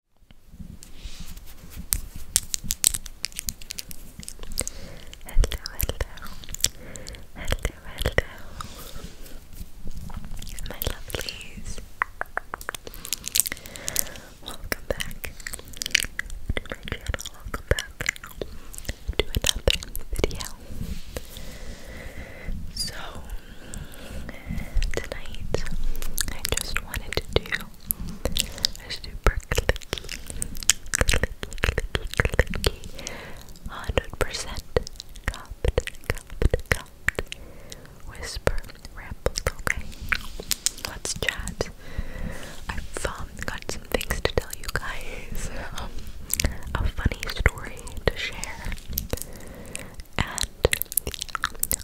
hello, hello, my lovelies. Welcome back to my channel. Welcome back to another video. So, Tonight, I just wanted to do a super clicky, clicky, clicky, clicky, 100% cupped, cupped, cupped whisper rambles, okay? Let's chat. I've got some things to tell you guys. a funny story to share and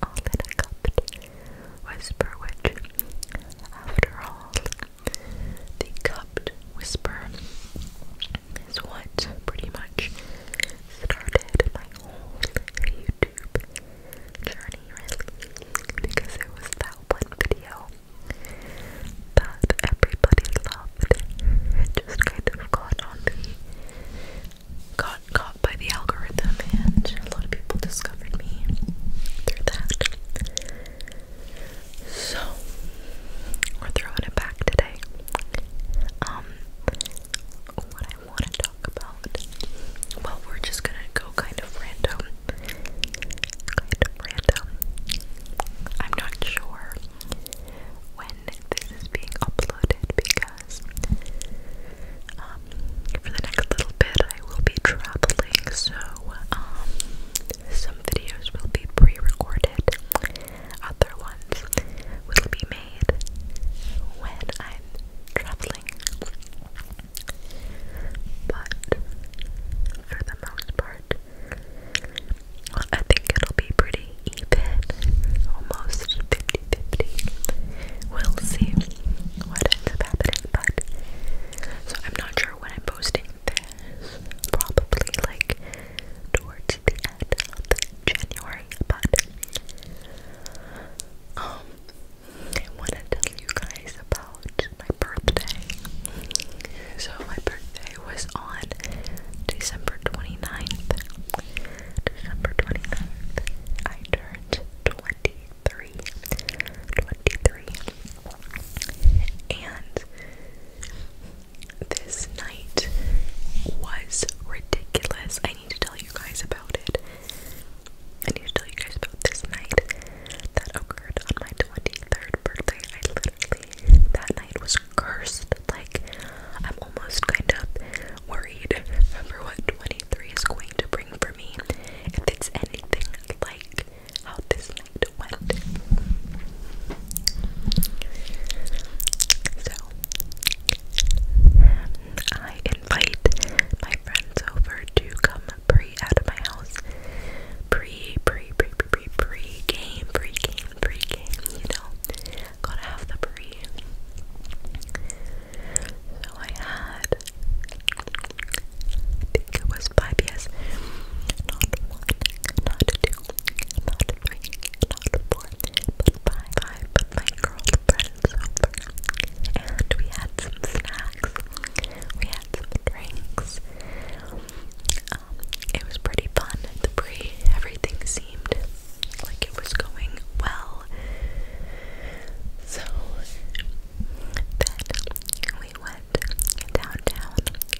all that I cupped was Berwitch. After all, the cupped whisper is what pretty much started my whole YouTube journey, really, because it was that one video that everybody loved. It just kind of got on the got caught by the algorithm, and a lot of people discovered me through that. So, we're throwing it back today. Um, what I want to talk about, well, we're just gonna go kind of random. Kind of random. I'm not sure when this is being uploaded because. Um, for the next little bit I will be traveling, so um, some videos will be pre-recorded, other ones will be made when I'm traveling. But for the most part, I think it'll be pretty even, almost 50 50 We'll see what ends up happening, but so I'm not sure when I'm posting this. Probably like towards the end of January, but um I wanna tell you guys about my birthday. So my birthday was on December 29th. December 29th, I turned 23. And this night was ridiculous. I need to tell you guys about it. I need to tell you guys about this night that occurred on my 23rd birthday. I literally, that night was cursed. Like, I'm almost kind of worried for what 23 is going to bring for me if it's anything like how this night went. So, I invite my friends over to come pre out of my house. Pre, pre, pre, pre, pre, pre game, pre game, pre game, you know gotta the brie. So I had, I think it was five yes. Not one, not two, not three, not four, but five. Five, but my girlfriend's over. And we had some snacks, we had some drinks. Um, it was pretty fun the pre. Everything seemed like it was going well well. So then we went downtown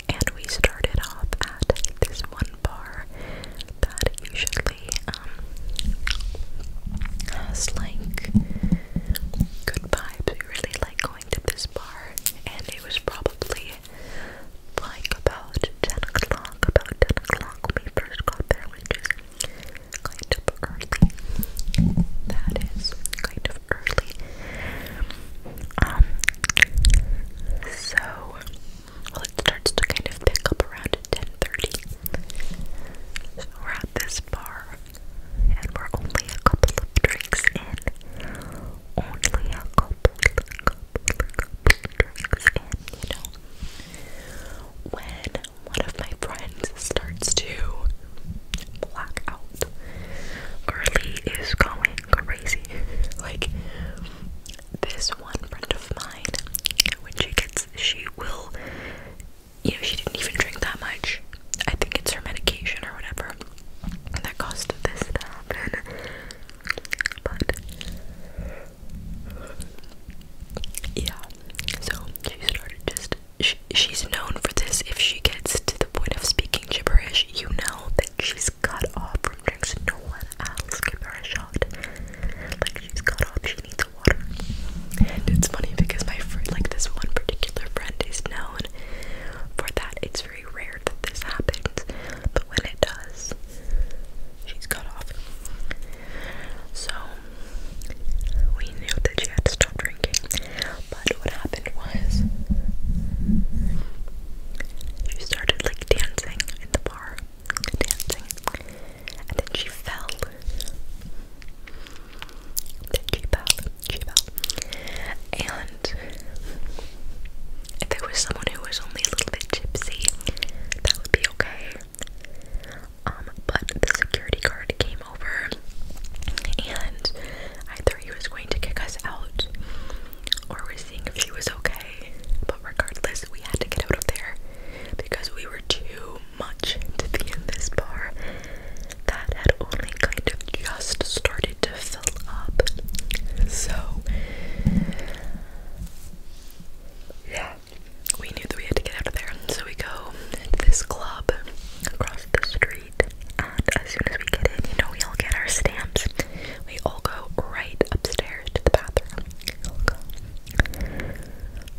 and we started off at this one bar that usually um has like good vibes. We really like going to this bar and it was probably like about 10 o'clock, about 10 o'clock when we first got there, which is kind of early. That is kind of early. Um, so well, it starts to kind of pick up around 10:30. we're at this bar, and we're only a couple of drinks in. Only a couple, drinks you know, when one of my friends starts to black out, Carly is going crazy. like, this one friend of mine, when she gets, she will, you know, she didn't even drink that much. I think it's her medication or whatever that caused this to happen. But yeah. So she started just. She, she's known for this. If she gets to the point of speaking gibberish, you know that she's cut off from drinks. No one else give her a shot. Like she's cut off. She needs water. And it's funny because my friend, like this one particular friend, is known for that. It's very rare that this happens, but when it does, she's cut off. So we knew that she had to stop drinking. But what happened was she started like dancing in the bar, dancing, and then she fell. Then she fell, she and if there was someone who was only a little bit gypsy, that would be okay. Um, but the security guard came over and I he was going to kick us out or we're seeing if he was okay. But regardless, we had to get out of there because we were too much to be in this bar that had only kind of just started to fill up. So, yeah, we knew that we had to get out of there, so we go to this club across the street. And as soon as we get in, you know, we all get our stamps. We all go right upstairs to the bathroom. We all go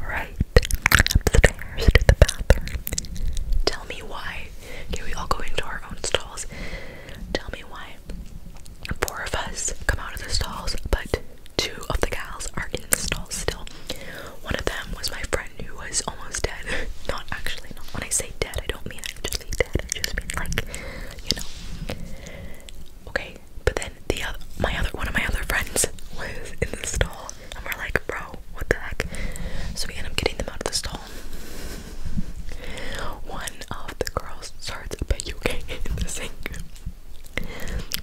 right upstairs to the bathroom. Tell me why. Okay, we all go into our own stalls. Tell me why Four of us come out of the stalls, but two of the gals are in the stalls still. One of them was my friend who was almost dead. Not actually, not when I say dead, I don't mean actually dead. I just mean like, you know. Okay, but then the other, my other, one of my other friends was in the stall, and we're like, bro, what the heck? So we end up getting them out of the stall. One of the girls starts a PUK in the sink.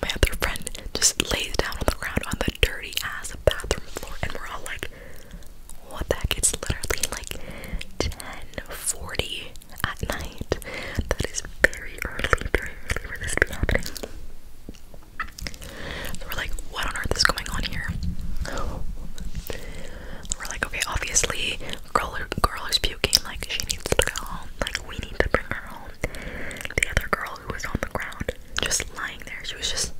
My other friend just lays down on the ground on the dirty ass bathroom floor, and we're all like, what the heck? It's literally like 10:40 at night. That is very early, very early for this to be happening. we're like, what on earth is going on here? We're like, okay, obviously, girl, girl is puking. Like, she needs to go. Like, we need to bring her home. The other girl who was on the ground, just lying there, she was just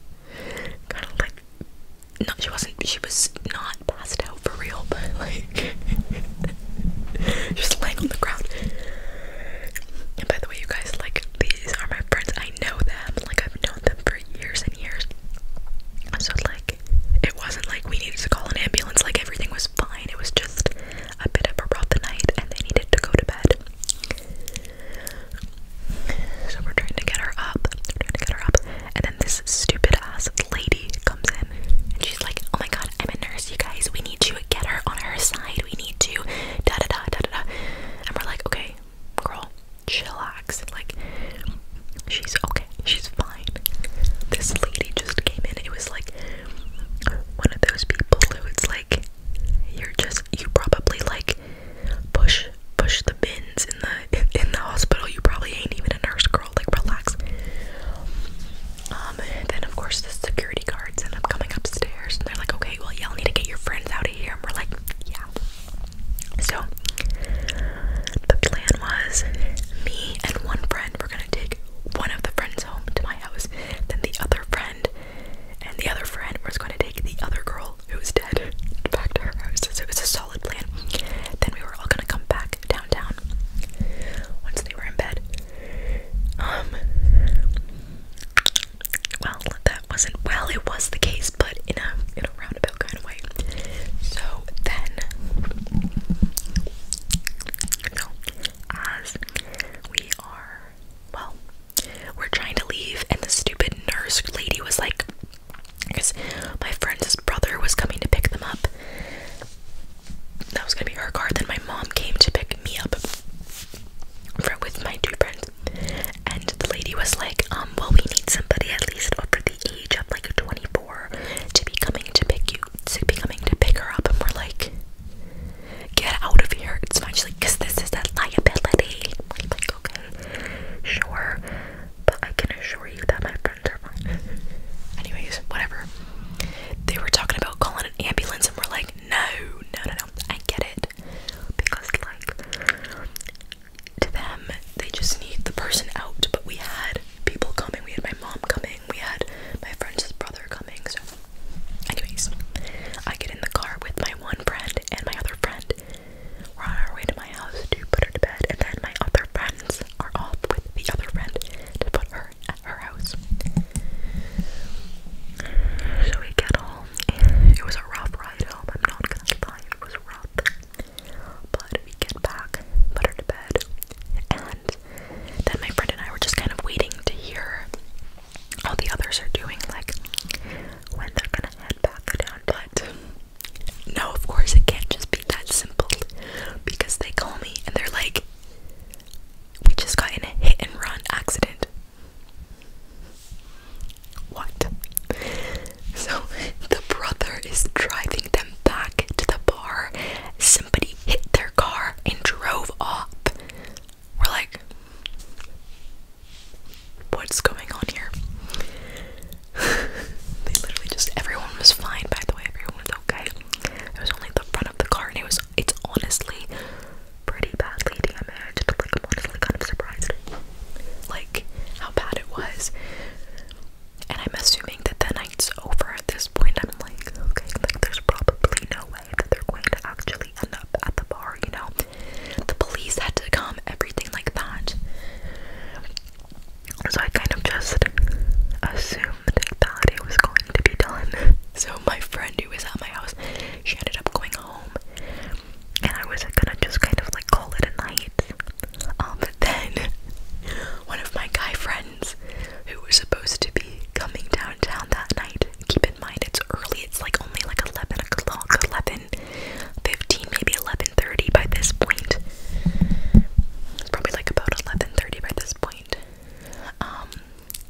kind of like, no, she wasn't, she was not passed out for real, but like, just laying on the ground. And by the way, you guys, like, these are my friends. I know them, like, I've known them for years and years. So, like, it wasn't like we needed to call an ambulance, like, everything was fine. It was just a bit of a rough night and they needed to go to bed. So we're trying to get her up. trying to get her up. And then this stupid ass lady comes in and she's like, Oh my god, I'm a nurse, you guys. We need to get her on her side. We need to da da da da. da. And we're like, Okay, girl, chillax. Like, she's okay. She's fine fine. This lady just came in. It was like one of those people who it's like you're just you probably like push push the bins in the in, in the hospital. You probably ain't even a nurse girl. Like relax. Um, then of course the security guards end up coming upstairs and they're like, okay, well y'all need to get your friends out of here. And we're like, yeah. So the plan was me and one friend we're gonna take one of the friends home to my house, then the other friend, and the other friend was gonna take the other girl who was dead back to her house. So it was a solid plan. Then we were all gonna come back downtown once they were in bed. Um, well, that wasn't well, it was the case, but in a in a roundabout kind of way. So then so, as we are, well, we're trying to leave, and the stupid nurse lady was like, because my friend's brother was coming to pick them up. That was gonna be her car. Then my mom came to pick me up for, with my two friends, and the lady was like, um, well, we need somebody at least over the age of like twenty four to be coming to pick you, to be coming to pick her up, and we're like, get out of here. It's not just like, because this is a liability. I'm like, okay, sure, but I can assure you that my friends are fine. Anyways, whatever. They were talking about calling an ambulance, and we're like, no, no, no, no, I get it. Because, like, to them, they just need the person out, but we had people coming. We had my mom coming. We had my friend's brother coming. So, anyways, I get in the car with my one friend and my other friend. We're on our way to my house to put her to bed, and then my other friends are off with the other friend to put her at her house. So we get home. It was a rough ride home. I'm not gonna lie, it was rough. But we get back, put her to bed, and and then my friend and I were just kind of waiting to hear how the others are doing, like when they're gonna head back down. But no, of course, it can't just be that simple because they call me and they're like, We just got in a hit and run accident. What? So the brother is driving them back to the bar, somebody hit their car and drove off. We're like, what's going on here? they literally just everyone was fine by the way, everyone was okay. It was only the front of the car and it was it's honestly pretty badly damaged. Like I'm honestly kind of surprised. Like how bad it was. And I'm assuming that the night's over at this point. I'm like, okay, like there's probably no way that they're going to actually end up at the bar, you know? The police had to come, everything like that. So I kind of just assumed that it was going to be done. So my friend who was at my house, she ended up going home. And I was gonna just kind of like call it a night. Um, but then one of my guy friends who were supposed to be coming downtown that night. Keep in mind it's early, it's like only like 11 o'clock, 11 15, maybe 11.30 by this point. It's probably like about 11.30 by this point. Um,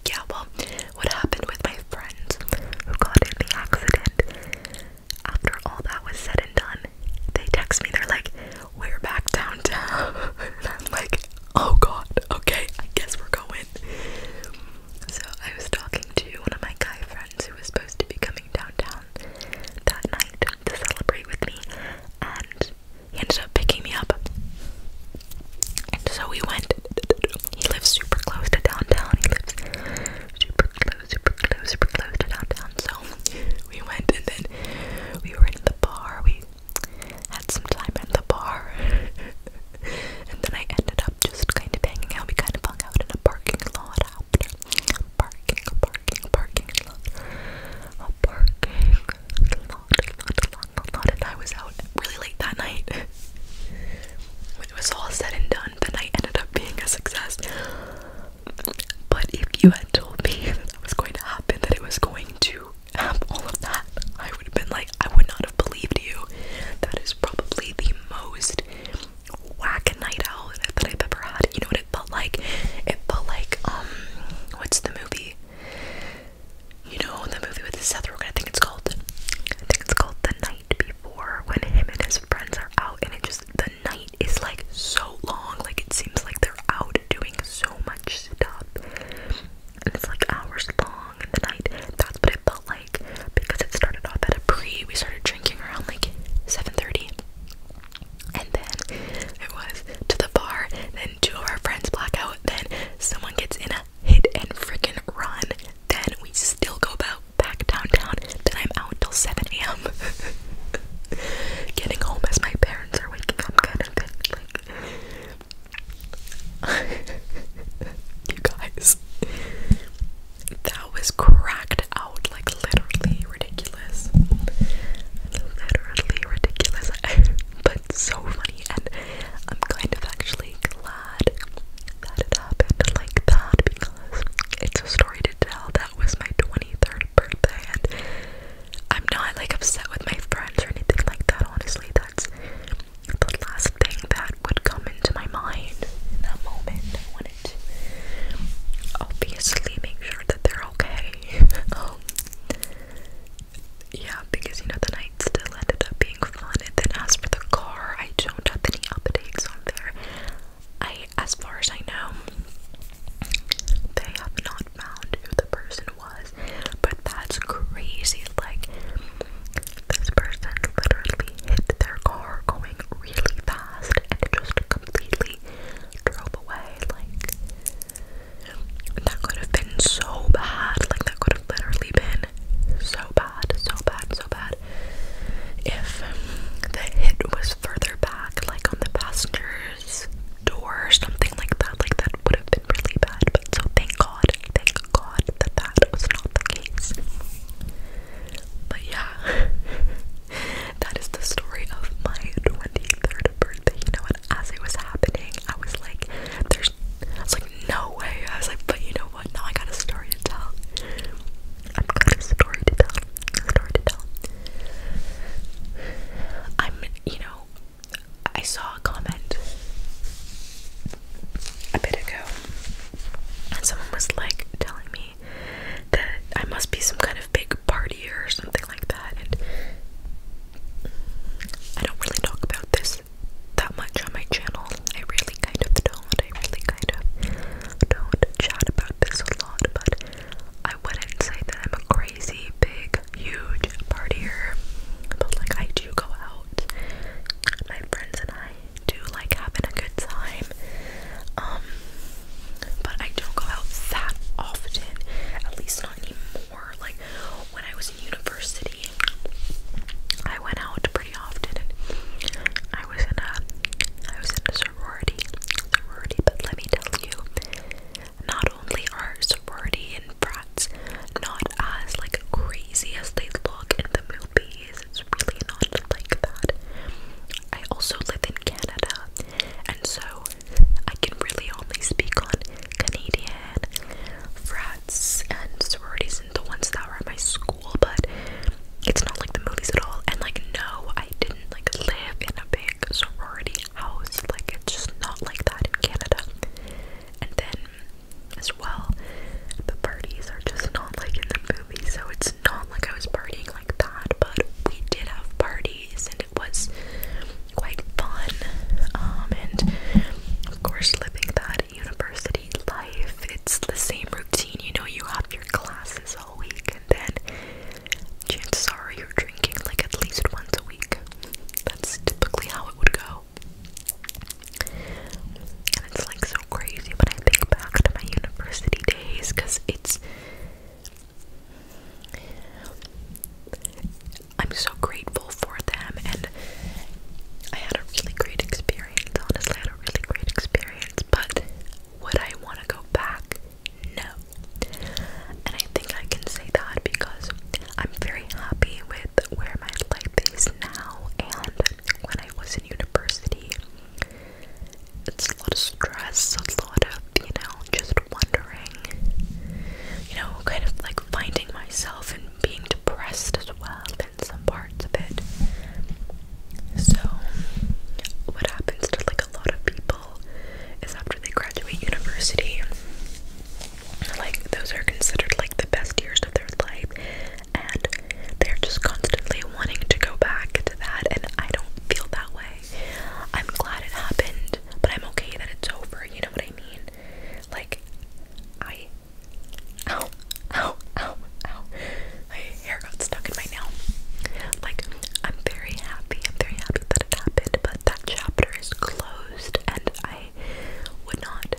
yeah, well, what happened with my friends who got in the accident, after all that was said and done, they text me, they're like, we're back downtown. and I'm like, oh god, okay, I guess we're going. So I was talking to one of my guy friends who was supposed to be coming downtown that night to celebrate with me, and he ended up picking me up. And so we went. He lives super close to downtown. He lives super close, super close, super close to downtown. So we went and then we were in the bar. We had some time at the bar. and then I ended up just kind of hanging out. We kind of hung out in a parking lot after. Parking, parking, parking lot. A parking lot, lot, lot, lot. And I was out really late that night. When it was all said and done, the night ended up being a success. But if you had told me that that was going to happen, that it was going to have all of that, I would have been like, I would not have believed you. That is probably the most whack night out that I've ever had. You know what it felt like? It felt like, um, what's the movie? You know, the movie with Seth Rogen, I think it's called. I think it's called The Night Before, when him and his friends are out, and it just, night is like so long. Like it seems like they're out doing so much stuff. And it's like hours long in the night. That's what it felt like because it started off at a pre. We started drinking around like 7:30. And then it was to the bar, then two of our friends black out, then someone gets in a hit and freaking run. Then we still go about back downtown. Then I'm out until 7 a.m um getting home as my parents are waking up you guys. That was cracked out like literally ridiculous. Literally ridiculous. but so funny and I'm kind of actually glad that it happened like that because it's a story to tell. That was my 23rd birthday and I'm not like upset with my friends or anything like that honestly that's the last thing that would come into my mind in that moment I wanted to obviously make sure that they're okay um, yeah because you know the night still ended up being fun and then as for the car I don't have any updates on there I as far as I know they have not have found who the person was, but that's crazy. Like, this person literally hit their car going really fast and just completely drove away. Like, that could have been so bad. Like, that could have literally been so bad, so bad, so bad. If the hit was further back, like on the passenger door or something like that. Like that would have been really bad. But so thank God, thank God that that was not the case. But yeah, that is the story of my 23rd birthday. You know what? As it was happening, I was like, there's, I was like, no way. I was like, but you know what? Now I got a story to tell. I've got a story to tell. I'm, you know, I saw a comment a bit ago, and someone was like telling me that I must be some kind of big partier or something like that. And I don't really talk about this that much on my channel. I really kind of don't. I really kind of don't chat about this a lot, but I wouldn't say that I'm a crazy, big, huge partier, but like I do go out. My friends and I do like having a good time. Um, but I don't go out that often, at least not anymore. Like when I was in university, I went out pretty often. I was in a, I was in a sorority, sorority. But let me tell you, not only are sorority and brats not as like crazy as they look in the movies, it's really not like that. I also live in Canada, and so I can really only speak on Canadian frats and sororities and the ones that were at my school, but it's not like the movies at all. And like, no, I didn't like live in a sorority house. Like it's just not like that in Canada. And then as well, the parties are just not like in the movie, so it's not like I was partying like that, but we did have parties and it was quite fun. Um, and of course living that university life, it's the same routine, you know, you have your classes all week and then chances are you're drinking like at least once a week. That's typically how it would go. And it's like so crazy when I think back to my university days because it's. I'm so grateful for them, and I had a really great experience. Honestly, I had a really great experience, but would I want to go back? no. And I think I can say that because I'm very happy with where my life is now. And when I was in university, it's a lot of stress, a lot of, you know, just wondering, you know, kind of like finding myself and being depressed as well in some parts of it. So, what happens to like a lot of people? is after they graduate university. Like those are considered like the best years of their life and they're just constantly wanting to go back to that and I don't feel that way. I'm glad it happened, but I'm okay that it's over, you know what I mean? Like I ow ow ow ow hair got stuck in my nail. Like, I'm very happy. I'm very happy that it happened, but that chapter is closed, and I would not.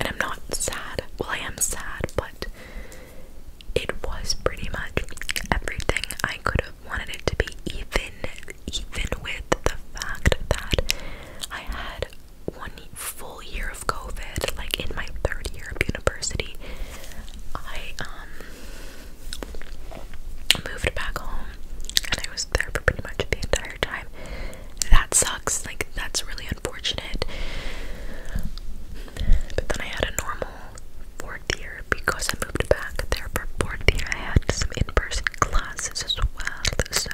And I'm not sad. Well, I am sad, but it was pretty much everything I could have wanted it to be, even even with the fact that I had one full year of COVID, like in my third year of university. I um moved back home and I was there for pretty much the entire time. That sucks, like, that's really unfortunate. But then I had a normal fourth year because I moved back there for fourth year. I had some in person classes as well, so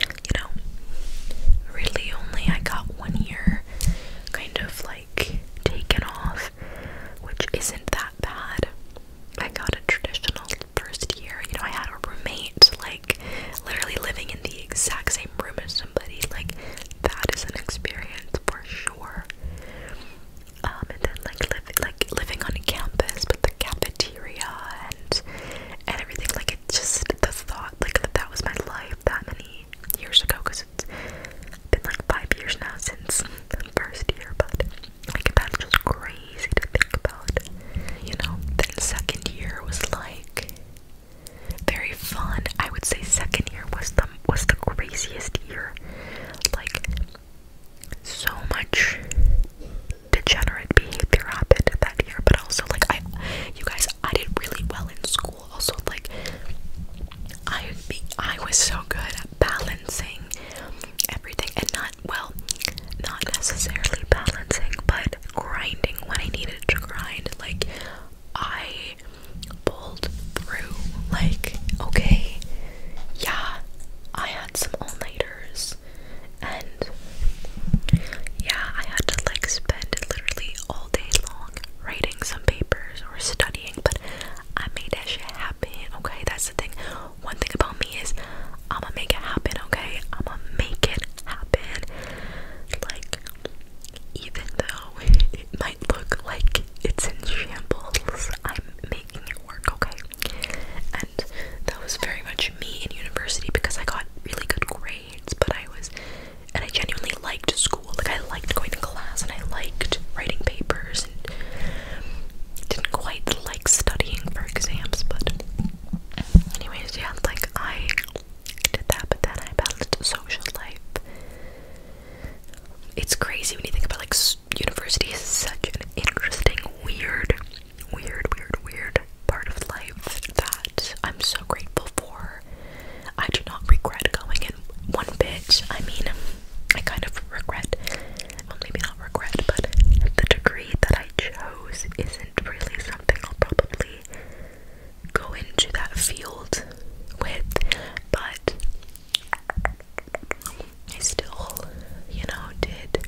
you know, really only I got one year kind of like taken off, which isn't that bad. I got a traditional first year. You know, I had a roommate, like literally living in the exact same room as somebody. Like that is an experience for sure. Um, and then like live, like living on campus with the cafeteria and and everything. Like it just the thought, like that was my life that many years ago because it's been like five years now since the first year, but like that's just crazy to think about, you know. Then second year was like very fun. I would say second year was the was the craziest year, like so much degenerate behavior happened that year, but also like I, you guys, I did really well in school also like I be, I was so good at balancing everything and not well not necessarily balancing but grinding when I needed to grind like I pulled through like okay yeah I had some all nighters and yeah I had to like spend literally all day long writing some papers or studying but I made that shit happen, okay? That's the thing. One thing about me is I'ma make it happen, okay? I'ma make it happen. Like, even though it might look like it's in shambles, I'm making it work, okay? And that was very much me in university because I got really good grades, but I was and I genuinely liked school. Like I liked going to class and I liked writing papers and didn't quite like studying for exams, but anyways, yeah, like I did that, but then I balanced social life. It's crazy when you think about like university is such an interesting, weird, weird, weird, weird part of life that I'm so grateful for I do not regret going in one bit. I mean, I kind of regret, well, maybe not regret, but the degree that I chose isn't really something I'll probably go into that field with, but I still, you know, did.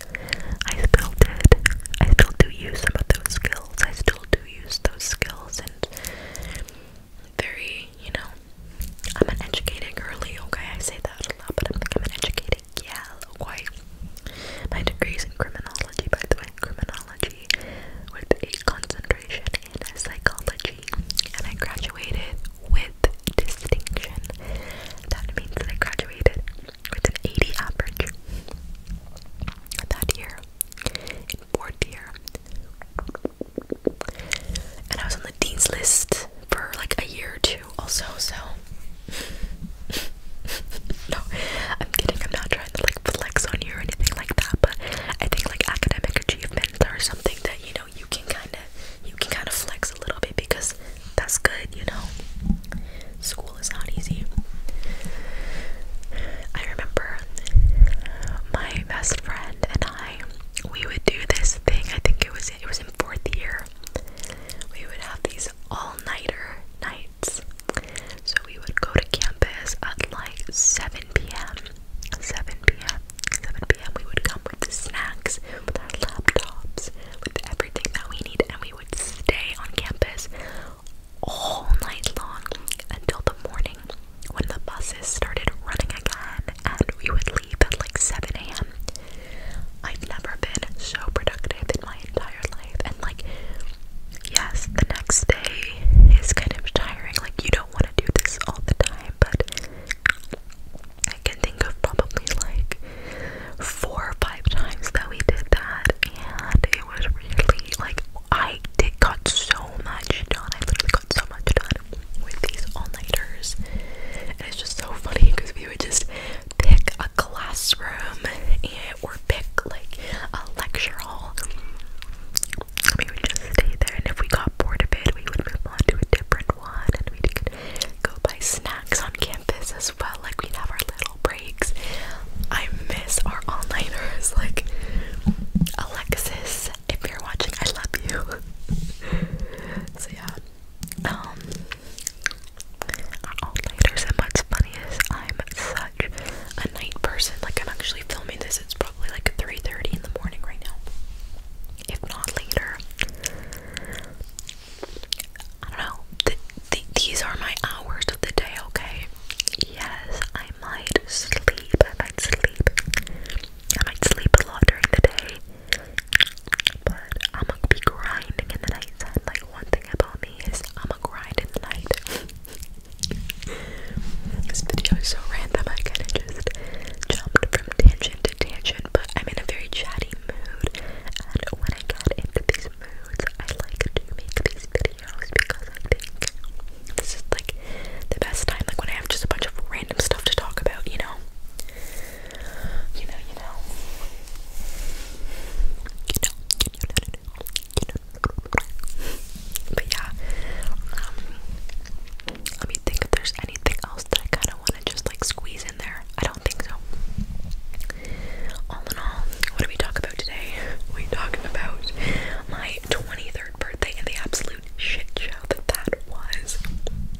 I still did. I still do use some of those skills. I still do use those skills, and very, you know, I'm an educated girly, okay? I say that a lot, but I think I'm an educated gal, okay? My degree's in criminology, by the way, criminology with a concentration in psychology, and I graduated with distinction. That means that I graduated with an 80 average that year in fourth year. And I was on the dean's list for like a year or two, also. So, no, I'm kidding. I'm not trying to like flex on you or anything like that. But I think like academic achievement or something that you know you can kind of you can kind of flex a little bit because that's good, you know. School is not easy. I remember my best friend and we would do this thing. I think it was it was in fourth year. We would have these all-nighter nights. So we would go to campus at like 7 p.m. 7 p.m. 7 p.m. We would come with the snacks, with our laptops, with everything that we need, and we would stay on campus all night long until the morning when the buses started running again and we would leave at like 7 a.m. I've never been so productive in my entire life. And like, yes, the next day is kind of tiring. Like, you don't want to do this all the time, but I can think of probably like four or five times that we did that. And it was really like, I did, got so much done. I literally so much done with these all-nighters. And it's just so funny because we would just pick a classroom and or pick like a lecture hall. We would just stay there and if we got bored of it we would move on to a different one and we could go buy snacks on campus as well. Like we'd have our little breaks. I miss our all-nighters like Alexis if you're watching, I love you. so yeah. Um all nighters and what's funny I'm such a night person. Like I'm actually filming this, it's probably like 3:30 in the morning right now. If not later. I don't know. these are my hours of the day, okay? Yes, I I might sleep. I might sleep. I might sleep a lot during the day. But I'm gonna be grinding in the night. Time. Like one thing about me is i grind in the night. this video is so random. I kind of just jumped from tangent to tangent. But I'm in a very chatty mood, and when I get into these moods, I like to make these videos videos because I think this is like the best time, like when I have just a bunch of random stuff to talk about, you know? You know, you know. You know, you know, you know, you know. But yeah, um, let me think if there's anything else that I kind of want to just like squeeze in there. I don't think so. All in all, what did we talk about today? We talked about my 20th birthday and the absolute shit show that that was.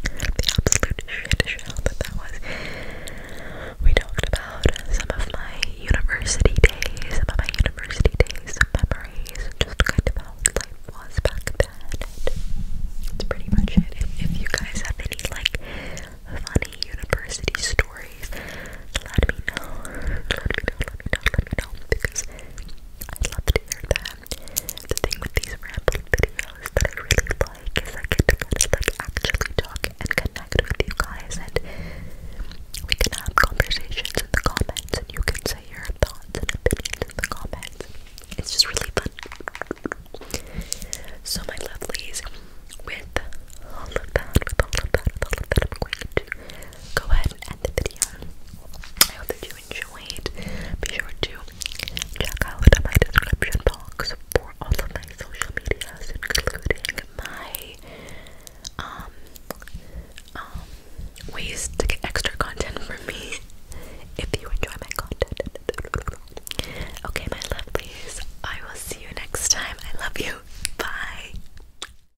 The absolute shit show that that was. We talked about some of my university days, some of my university days, some memories, just kind of how life was back then. It's pretty much it. if you guys have any like funny university stories, let me know. Let me know, let me know, let me know. Because i love to hear them. The thing with these rambling videos that I really like is I get to kind of like actually talk and connect with you guys and we can have conversations in the comments and you can say your thoughts and opinions in the comments. It's just really fun. So my lovelies, with all of that, with all of that, with all of that, I'm going to go ahead and end the video. I hope that you enjoyed. Be sure to check out my description box for all of my social medias, including my um, um ways to get extra content from me if you enjoy my content. Okay, my lovelies, I will see you next time. I love you. Bye.